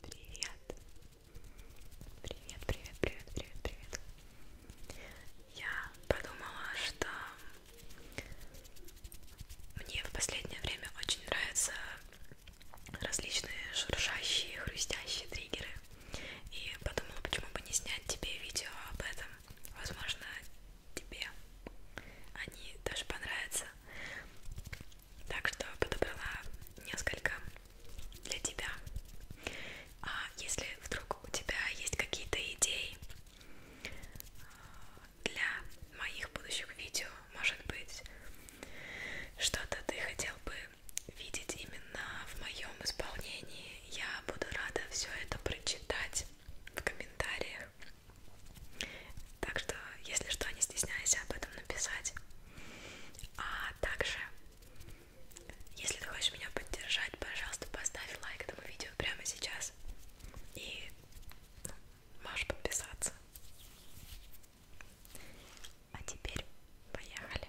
Привет. Привет, привет, привет, привет, привет. Я подумала, что мне в последнее время очень нравятся различные шуршащие, хрустящие триггеры. И подумала, почему бы не снять тебе видео об этом. Возможно, тебе они даже понравятся. Так что подобрала несколько для тебя. А если вдруг у тебя есть какие-то идеи э, для моих будущих видео, может быть, что-то ты хотел бы видеть именно в моем исполнении, я буду рада все это прочитать в комментариях. Так что, если что, не стесняйся об этом написать. А также, если ты хочешь меня поддержать, пожалуйста, поставь лайк этому видео прямо сейчас. И ну, можешь подписаться. А теперь поехали.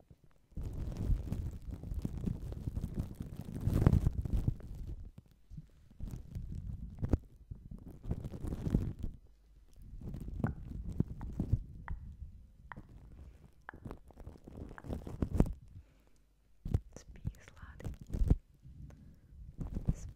Спи, сладкий. Спи.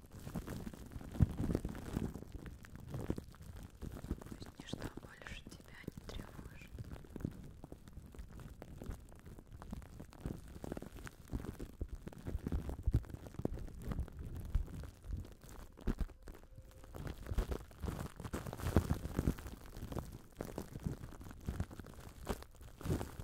То есть ничто больше тебя не тревожит. Итак,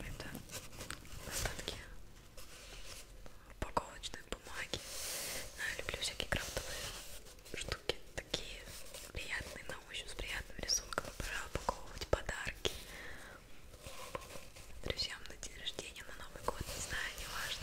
Это остатки упаковочной бумаги. Я люблю всякие крафтовые штуки такие приятные на ощупь, с приятным рисунком. Пора упаковывать подарки друзьям на день рождения, на Новый год, не знаю, не важно.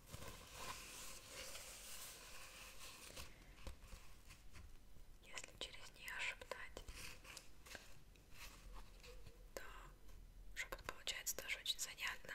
Если через нее шептать, то шепот получается тоже очень занятно.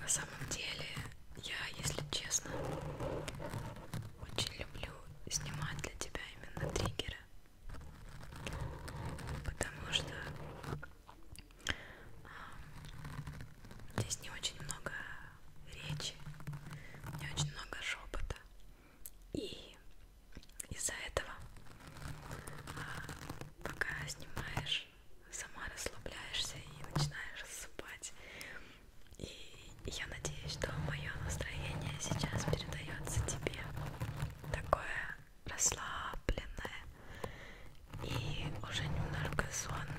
На самом деле, я, если честно, очень люблю снимать для тебя именно триггеры потому что а, здесь не очень много речи, не очень много шепота, и из-за этого а, пока снимаешь, сама расслабляешься и начинаешь засыпать. И я надеюсь, что мое настроение сейчас передается тебе такое расслабленное и уже немножко сонное.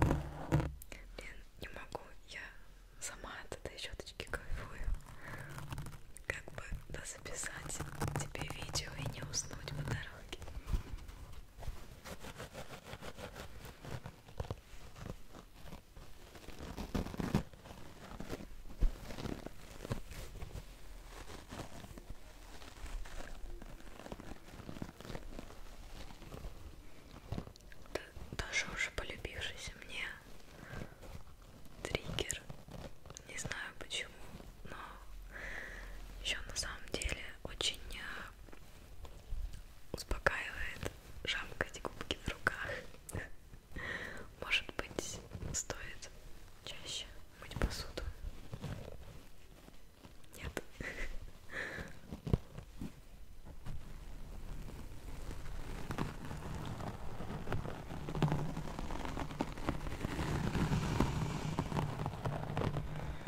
Блин, не могу, я сама от этой щеточки кайфую. Как бы да записать тебе видео и не уснуть по дороге. Тоже уже полюбившийся мне триггер. Не знаю почему но еще на самом деле очень э, успокаивает жамкать губки в руках. Может быть, стоит чаще мыть посуду? Нет.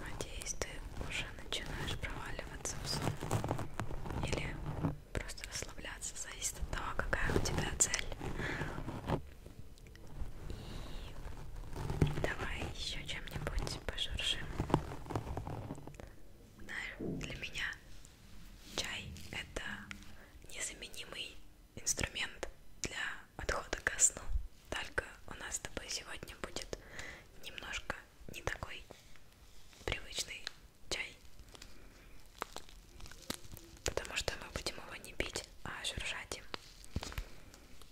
Надеюсь, ты уже начинаешь проваливаться в сон или просто расслабляться, зависит от того, какая у тебя цель. И давай еще чем-нибудь Давайте пожуршим. Для меня чай это незаменимый инструмент для отхода ко сну. Только у нас с тобой сегодня будет немножко не такой привычный чай. Потому что мы будем его не пить, а журжать им.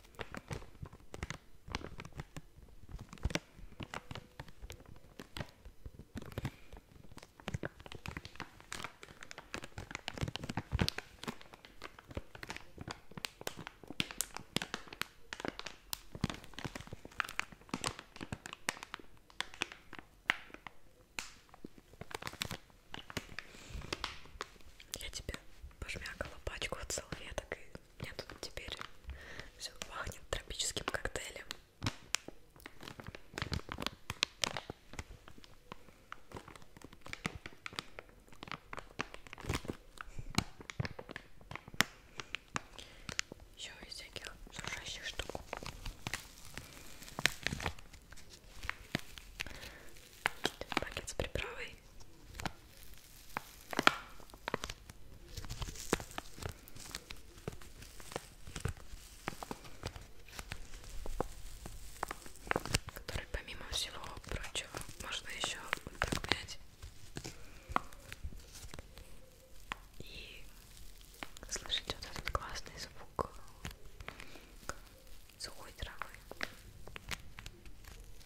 Я тебе пожмякала пачку от салфеток и у меня тут теперь все пахнет тропическим коктейлем. Еще из всяких сушащих штук. Пакет с приправой который помимо всего прочего можно еще вот так мять и слышать вот этот классный звук сухой травы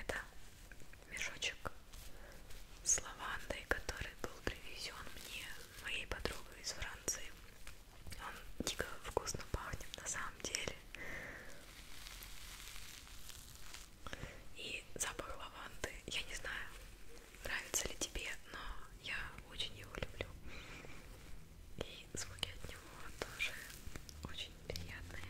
Это мешочек с лавандой, который был привезен мне моей подругой из Франции. Он дико вкусно пахнет на самом деле. И запах лаванды, я не знаю, нравится ли тебе, но я очень его люблю. И и звуки от него тоже очень приятные.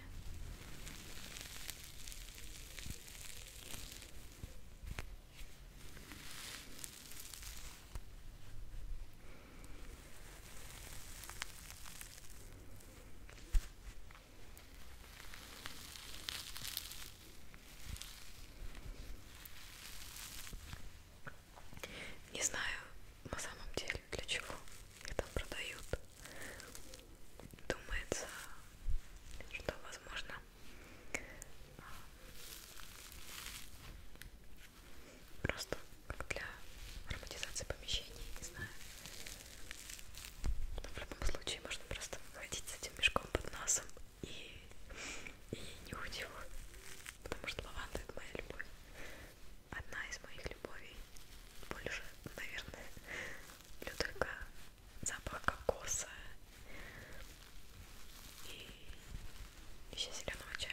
Не знаю, на самом деле для чего их там продают. Думается, что возможно а, просто как для ароматизации помещений, не знаю. Но в любом случае можно просто ходить с этим мешком под носом и, и нюхать его, потому что лаванда это моя любовь одна из моих любовей. Больше, наверное, люблю только запах кокоса и еще зеленого чая.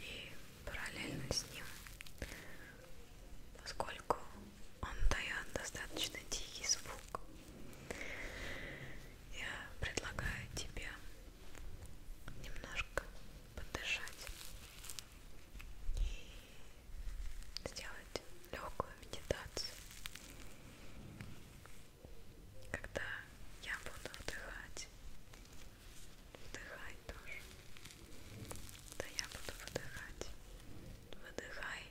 И параллельно с ним, поскольку он дает достаточно тихий звук, я предлагаю тебе немножко подышать и сделать легкую медитацию, когда я буду вдыхать, вдыхай тоже, да я буду выдыхать, выдыхай. Вдыхай.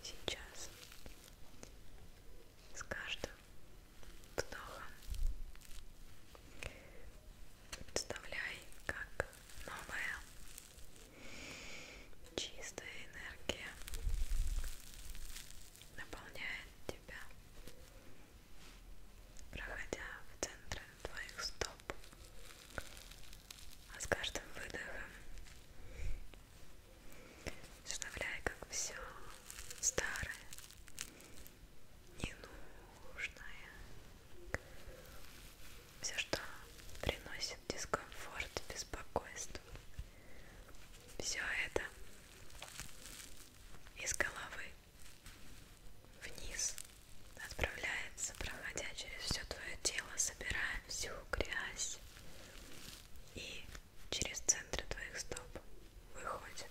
И сейчас с каждым вдохом представляй, как новая Чистая энергия наполняет тебя, проходя в центр твоих стоп. А с каждым выдохом представляй, как все старое, ненужное все, что приносит дискомфорт, беспокойство, все это из головы вниз отправляется, проходя через все твое тело, собирая всю грязь и через центр твоих стоп выходит.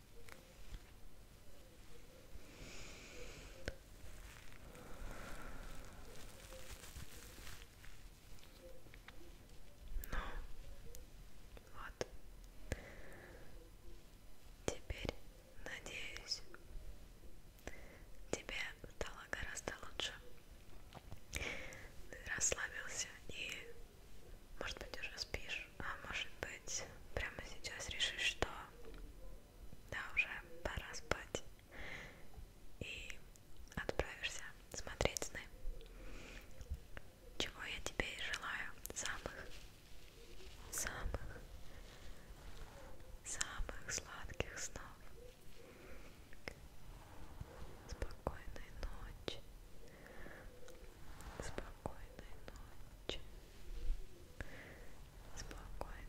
Ну, вот. Теперь, надеюсь, тебе стало гораздо лучше. Расслабился и может быть, уже спишь, а может быть, прямо сейчас решишь, что да, уже пора спать и отправишься смотреть сны. Чего я тебе и желаю самых, самых, самых сладких снов. Спокойной ночи, Спокойной ночи. Спокойной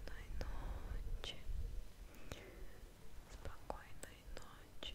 ночи. Спокойной ночи.